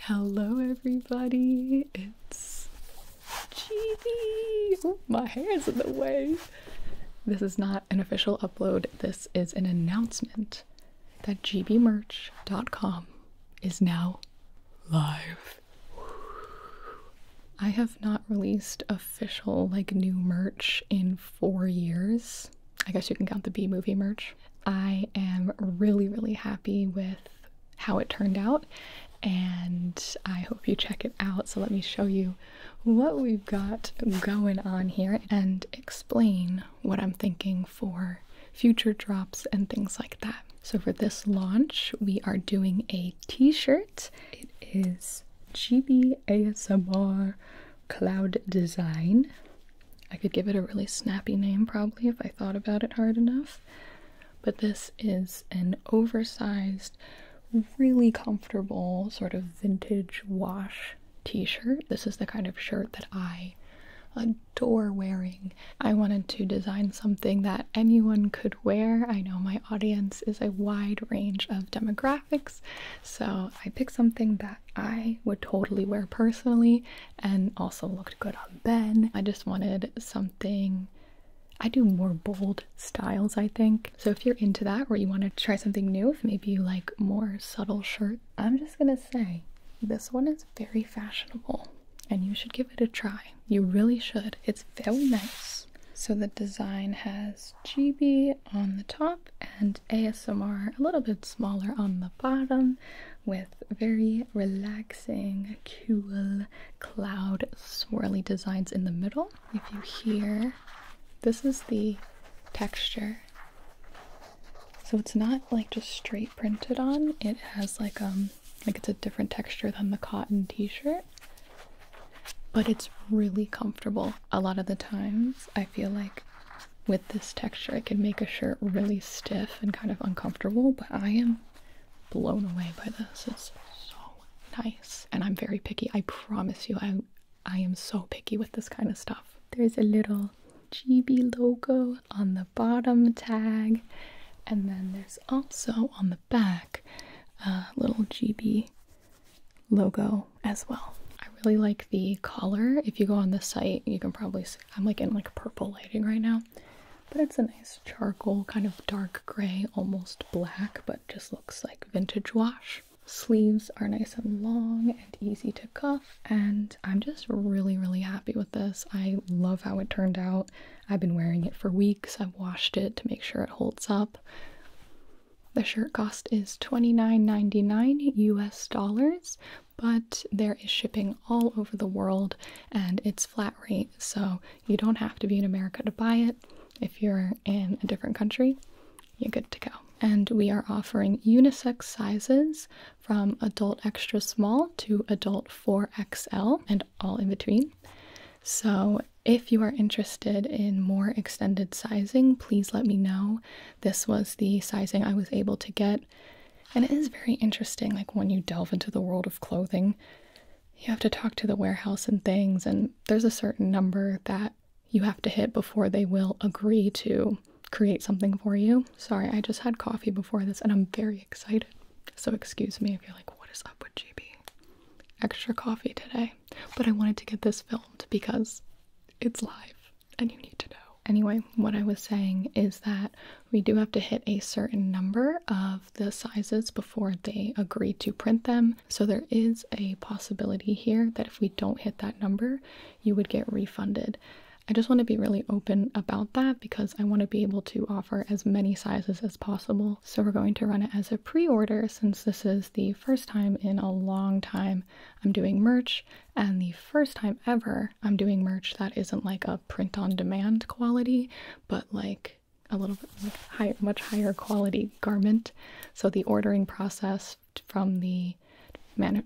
Hello, everybody. It's GB. Oh, my hair's in the way. This is not an official upload. This is an announcement that gbmerch.com is now live. I have not released official, like, new merch in four years. I guess you can count the B movie merch. I am really, really happy with how it turned out, and I hope you check it out. So, let me show you what we've got going on here and explain what I'm thinking for future drops and things like that. So, for this launch, we are doing a t shirt. It is GBASMR Cloud Design I could give it a really snappy name probably if I thought about it hard enough. But this is an oversized, really comfortable, sort of vintage wash t shirt. This is the kind of shirt that I adore wearing. I wanted to design something that anyone could wear. I know my audience is a wide range of demographics, so I picked something that I would totally wear personally and also looked good on Ben. I just wanted something. I do more bold styles, I think. So if you're into that or you want to try something new, if maybe you like more subtle shirts, I'm just gonna say this one is very fashionable and you should give it a try. You really should. It's very nice. So the design has GB on the top and ASMR a little bit smaller on the bottom with very relaxing, cool cloud swirly designs in the middle. If you hear, this is the texture. So it's not like just straight printed on. It has like um like it's a different texture than the cotton t-shirt. But it's really comfortable. A lot of the times I feel like with this texture. It can make a shirt really stiff and kind of uncomfortable, but I am blown away by this. It's so nice. And I'm very picky. I promise you, I, I am so picky with this kind of stuff. There's a little GB logo on the bottom tag, and then there's also on the back a little GB logo as well. I really like the collar. If you go on the site, you can probably I'm like in like purple lighting right now, but it's a nice charcoal kind of dark gray, almost black, but just looks like vintage wash. Sleeves are nice and long and easy to cuff, and I'm just really, really happy with this. I love how it turned out. I've been wearing it for weeks. I've washed it to make sure it holds up. The shirt cost is twenty nine ninety US dollars, but there is shipping all over the world and it's flat rate, so you don't have to be in America to buy it. If you're in a different country, you're good to go. And we are offering unisex sizes from adult extra small to adult 4XL and all in between. So, if you are interested in more extended sizing, please let me know this was the sizing I was able to get. And it is very interesting, like when you delve into the world of clothing, you have to talk to the warehouse and things, and there's a certain number that you have to hit before they will agree to create something for you. Sorry, I just had coffee before this and I'm very excited. So excuse me if you're like, what is up with GB? Extra coffee today. But I wanted to get this filmed because it's live and you need to know. Anyway, what I was saying is that we do have to hit a certain number of the sizes before they agree to print them. So there is a possibility here that if we don't hit that number, you would get refunded. I just want to be really open about that because I want to be able to offer as many sizes as possible. So we're going to run it as a pre-order since this is the first time in a long time I'm doing merch and the first time ever I'm doing merch that isn't like a print on demand quality, but like a little bit much higher quality garment. So the ordering process from the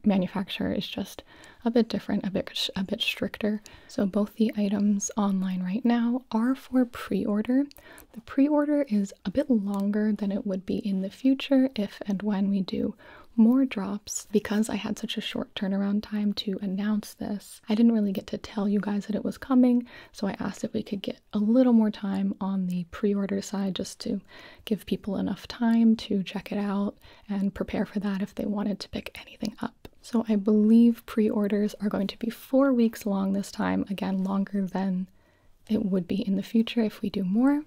manufacturer is just a bit different, a bit a bit stricter. So both the items online right now are for pre-order. The pre-order is a bit longer than it would be in the future if and when we do more drops because I had such a short turnaround time to announce this. I didn't really get to tell you guys that it was coming, so I asked if we could get a little more time on the pre order side just to give people enough time to check it out and prepare for that if they wanted to pick anything up. So I believe pre orders are going to be four weeks long this time, again, longer than it would be in the future if we do more.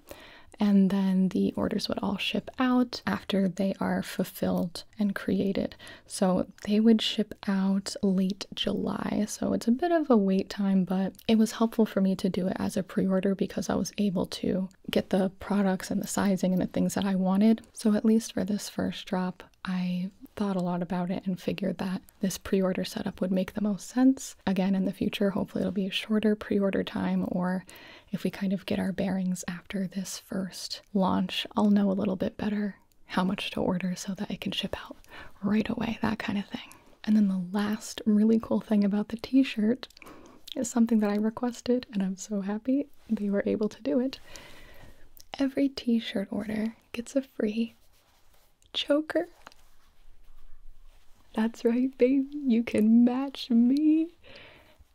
And then the orders would all ship out after they are fulfilled and created. So they would ship out late July. So it's a bit of a wait time, but it was helpful for me to do it as a pre order because I was able to get the products and the sizing and the things that I wanted. So at least for this first drop, I thought a lot about it and figured that this pre order setup would make the most sense. Again, in the future, hopefully it'll be a shorter pre-order time or if we kind of get our bearings after this first launch, I'll know a little bit better how much to order so that it can ship out right away, that kind of thing. And then the last really cool thing about the t-shirt is something that I requested and I'm so happy they were able to do it. Every t-shirt order gets a free Choker. That's right, baby. You can match me.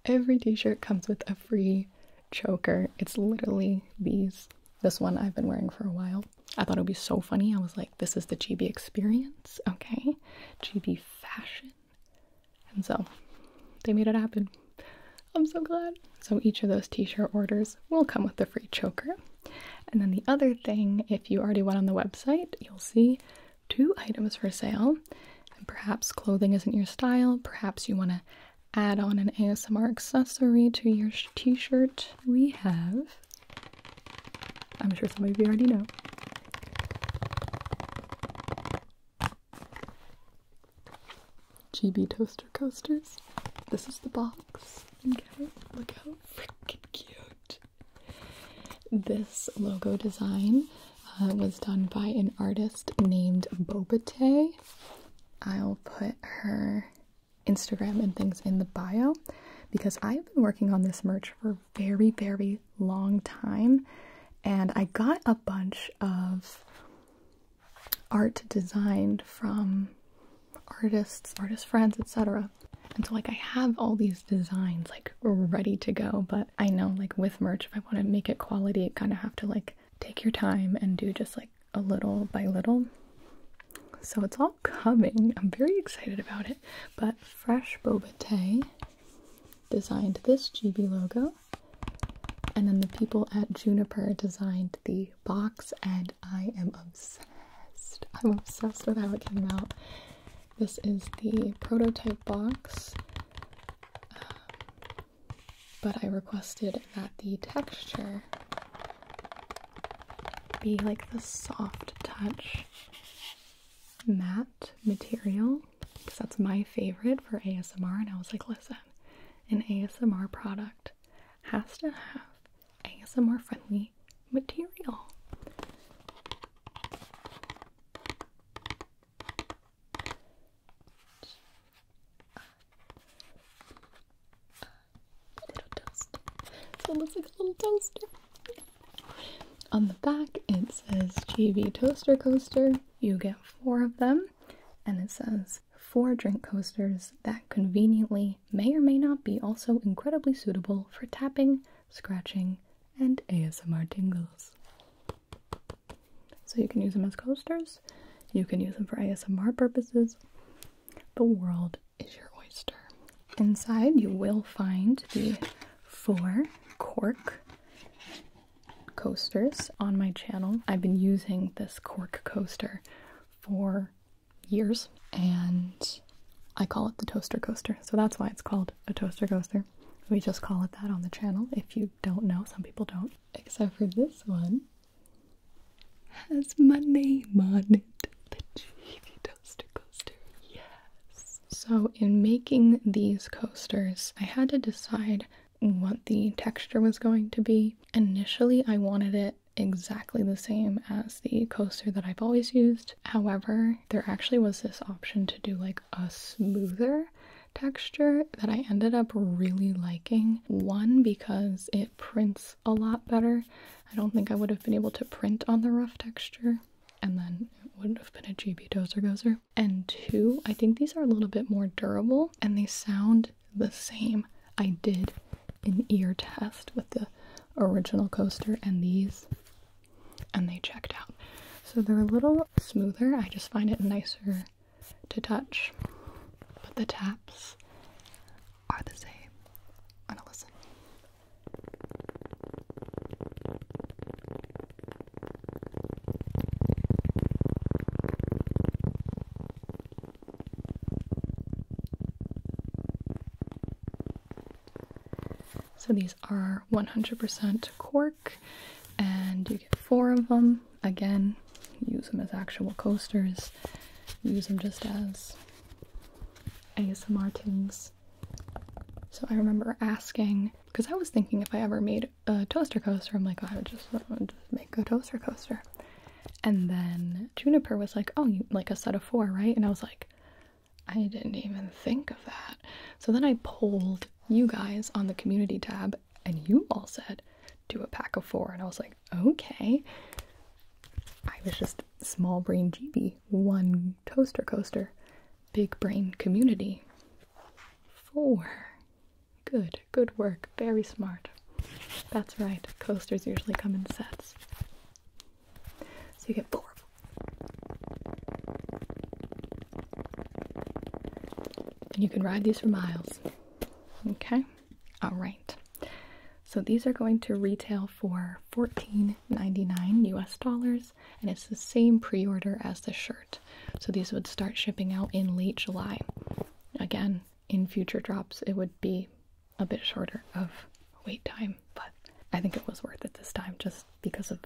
Every t-shirt comes with a free choker. It's literally these. This one I've been wearing for a while. I thought it would be so funny. I was like, this is the GB experience, okay? GB fashion. And so they made it happen. I'm so glad. So each of those t-shirt orders will come with a free choker. And then the other thing, if you already went on the website, you'll see two items for sale. And perhaps clothing isn't your style, perhaps you want to add on an ASMR accessory to your t shirt. We have, I'm sure some of you already know. GB Toaster Coasters. This is the box. look how freaking cute this logo design uh, was done by an artist named Bobate. I'll put her Instagram and things in the bio because I've been working on this merch for a very, very long time. And I got a bunch of art designed from artists, artist friends, etc. And so like I have all these designs like ready to go, but I know like with merch if I want to make it quality, I kind of have to like take your time and do just like a little by little. So it's all coming. I'm very excited about it. But Fresh Boba designed this GB logo. And then the people at Juniper designed the box and I am obsessed I'm obsessed with how it came out. This is the prototype box. Um, but I requested that the texture be like the soft touch matte material because that's my favorite for ASMR. And I was like, listen, an ASMR product has to have ASMR friendly material. little toaster. it looks like a little toaster. On the back it says GB Toaster Coaster. You get four of them. And it says four drink coasters that conveniently may or may not be also incredibly suitable for tapping, scratching, and ASMR tingles. So you can use them as coasters, you can use them for ASMR purposes. The world is your oyster. Inside, you will find the four cork coasters on my channel. I've been using this cork coaster for years, and I call it the toaster coaster. So that's why it's called a toaster coaster. We just call it that on the channel. If you don't know, some people don't. Except for this one has my name on it. The Chevy Toaster Coaster. Yes. So in making these coasters, I had to decide what the texture was going to be. Initially, I wanted it exactly the same as the coaster that I've always used. However, there actually was this option to do like a smoother texture that I ended up really liking. One, because it prints a lot better. I don't think I would have been able to print on the rough texture and then it wouldn't have been a GB Dozer Gozer. And two, I think these are a little bit more durable and they sound the same. I did an ear test with the original coaster and these, and they checked out. So they're a little smoother. I just find it nicer to touch, but the taps are the same. i listen. So these are 100% cork, and you get four of them. Again, use them as actual coasters, use them just as ASMR things. So I remember asking, because I was thinking if I ever made a toaster coaster, I'm like, oh, I would just, want to make a toaster coaster. And then Juniper was like, Oh, like a set of four, right? And I was like, I didn't even think of that. So then I polled you guys on the community tab, and you all said, Do a pack of four. And I was like, Okay. I was just small brain GB, one toaster coaster, big brain community. Four. Good, good work. Very smart. That's right, coasters usually come in sets. So you get four And you can ride these for miles. Okay? Alright. So these are going to retail for $14.99 US dollars, and it's the same pre order as the shirt. So these would start shipping out in late July. Again, in future drops, it would be a bit shorter of wait time, but I think it was worth it this time just because of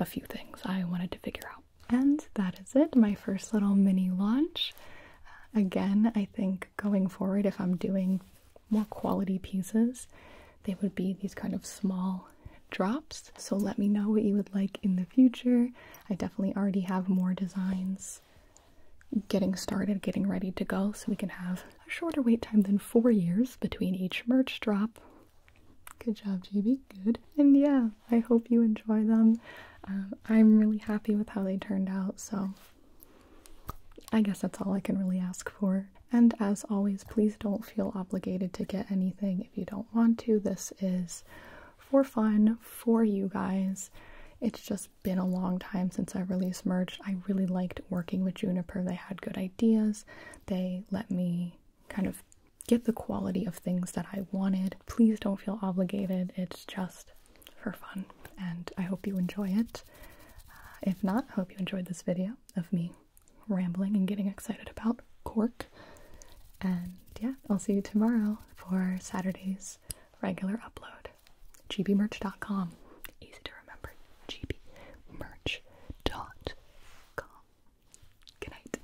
a few things I wanted to figure out. And that is it, my first little mini launch. Uh, again, I think going forward, if I'm doing more quality pieces, they would be these kind of small drops. So let me know what you would like in the future. I definitely already have more designs getting started, getting ready to go, so we can have a shorter wait time than four years between each merch drop. Good job, JB. Good. And yeah, I hope you enjoy them. Um, I'm really happy with how they turned out, so I guess that's all I can really ask for. And as always, please don't feel obligated to get anything if you don't want to. This is for fun for you guys. It's just been a long time since I released merch. I really liked working with Juniper. They had good ideas. They let me kind of get the quality of things that I wanted. Please don't feel obligated. It's just for fun. And I hope you enjoy it. Uh, if not, I hope you enjoyed this video of me rambling and getting excited about cork. And yeah, I'll see you tomorrow for Saturday's regular upload gbmerch.com. Easy to remember. gbmerch.com. Good night.